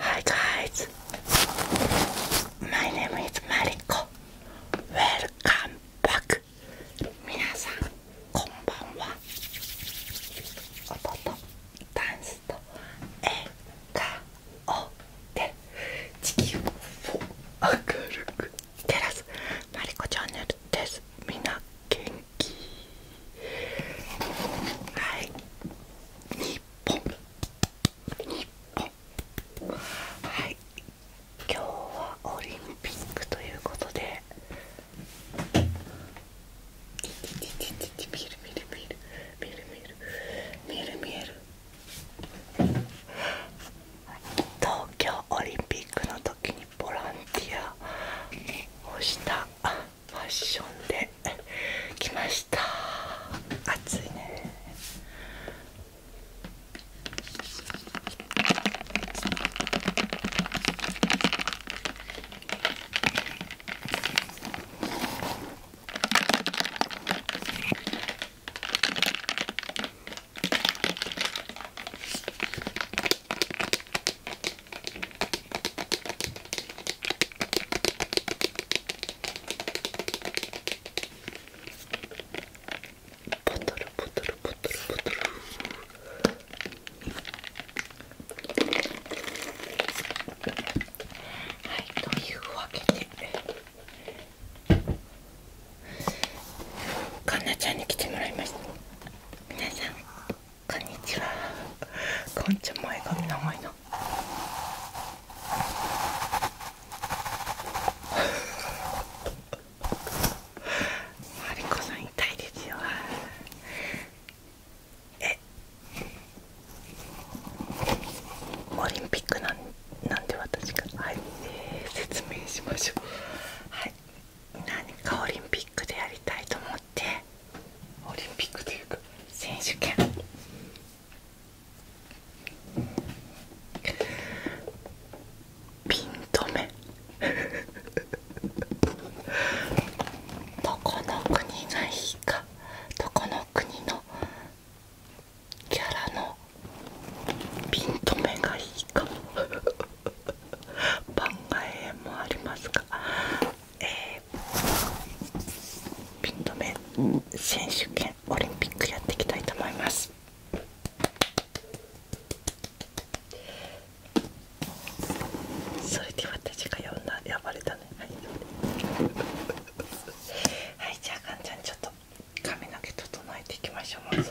Hi guys, my name is Mariko. Welcome back. 皆さんこんばんは。音とダンスと笑顔で地球を明るく照らすマリコチャンネルです。みんな元はい日本日本はい今日はオリンピックということで見える見える見える見える見える見える東京オリンピックの時にボランティアをしたファッションで来ました暑いねボトルボトルボトルボトルはいというわけでかんなちゃんに来てもらいました皆さんこんにちはこんちゃ前髪長いなマリコさん痛いですよえオリンピックなんなんで私がはい、えー、説明しましょうはい何かオリンピックでやりたいと思ってオリンピックというか選手権ピン止めどこの国がいいかどこの国のキャラのピン止めがいいか番外もありますが、えー、ピンと目。選手権オリンピックやっていきたいと思います。それで私が呼んだ呼ばれたねはいはいじゃあかんちゃんちょっと髪の毛整えていきましょうまず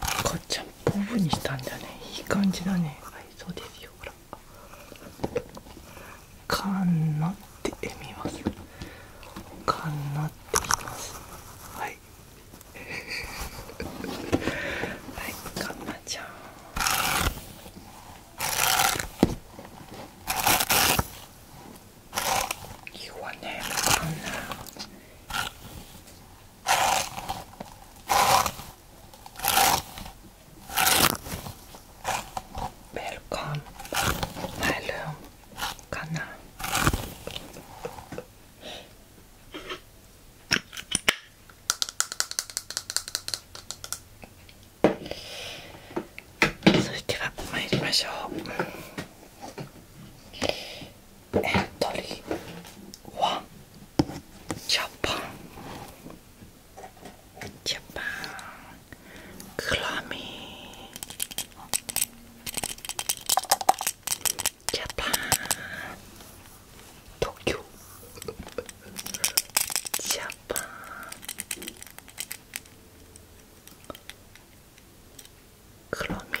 赤ちゃんっぽぶにしたんだねいい感じだねはいそうですよほらかなってみますかんなってみますはい はいかんなちゃんいいわねかんな Välkommen Hallå Kanna それでは参りましょうエントリー1 Chopong, Chopong, Clummy, Japan, Tokyo, Japan, Clummy.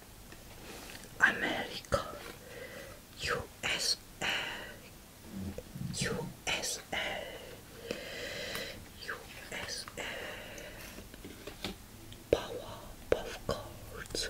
America, USA, USA, USA, Power of Cards.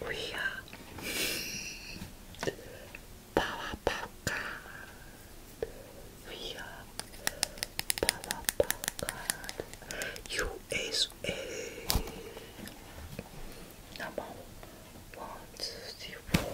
We are power We are power USA about one, two, three, four.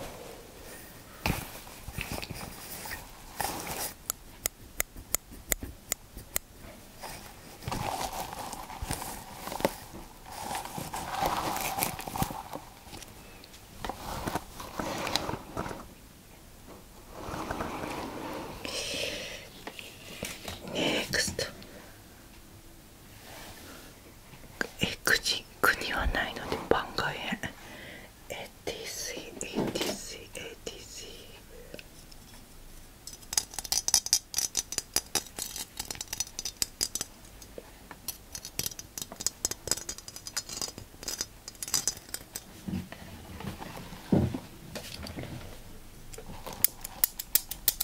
Next, エクジえク国はないので番外エ ATC a エ c ATC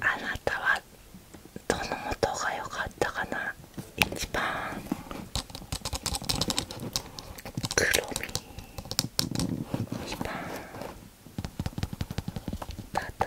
あなたはどの音が良かったかな一番黒み一番ただ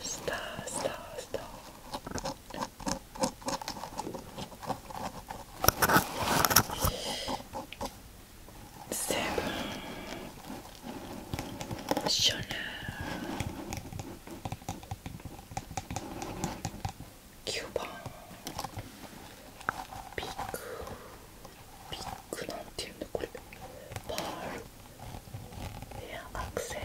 スタースタースターセブンショナーバ。番ビッグビッグなんていうんだこれパールいや学生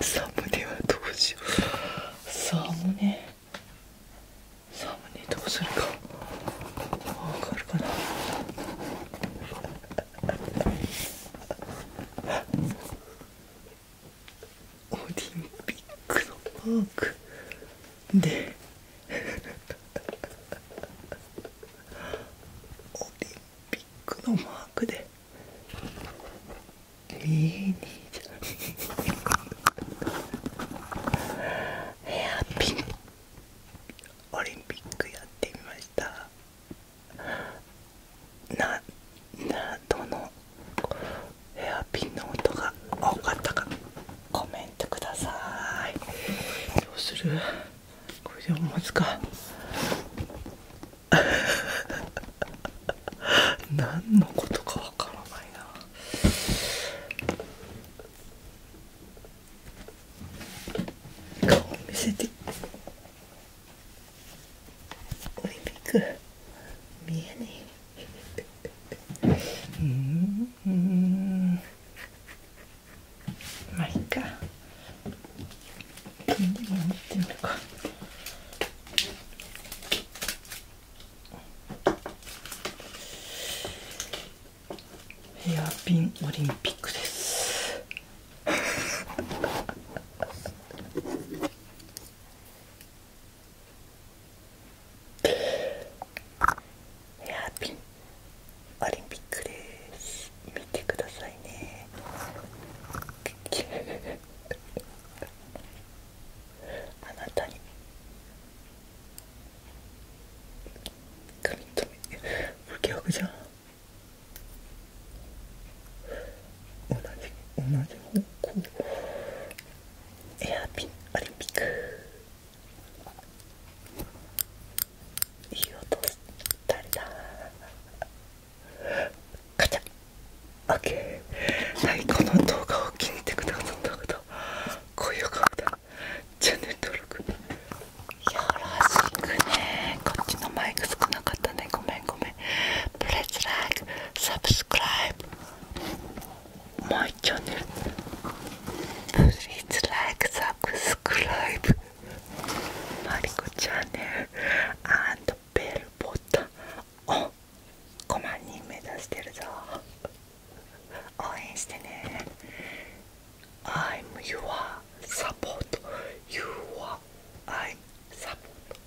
サムネはどうしようサムネサムネどうするかわかるかなオリンピックのマークでオリンピックのマークで見えにじゃヘアピンオリンピックやってみましたなどのヘアピンの音が多かったかコメントくださいどうするこれでもまずか 何のことかわからないな顔見せてオリンピック見えねえうんまあいいかでも持ヘアピンオリンピックです ヘアピンオリンピックです見てくださいねあなたに髪留め不記憶じゃん同じ同じ方向エアピンオリンピックいい音したりだカチャオッケーはいこの動画を気に入ってくださった方高評価ボタンチャンネル登録よろしくねこっちのマイク少なかったねごめんごめん like subscribe my channel. Please like, subscribe My channel and bell button Oh, を5万人目指してるぞ応援してね I'm your support You are I'm support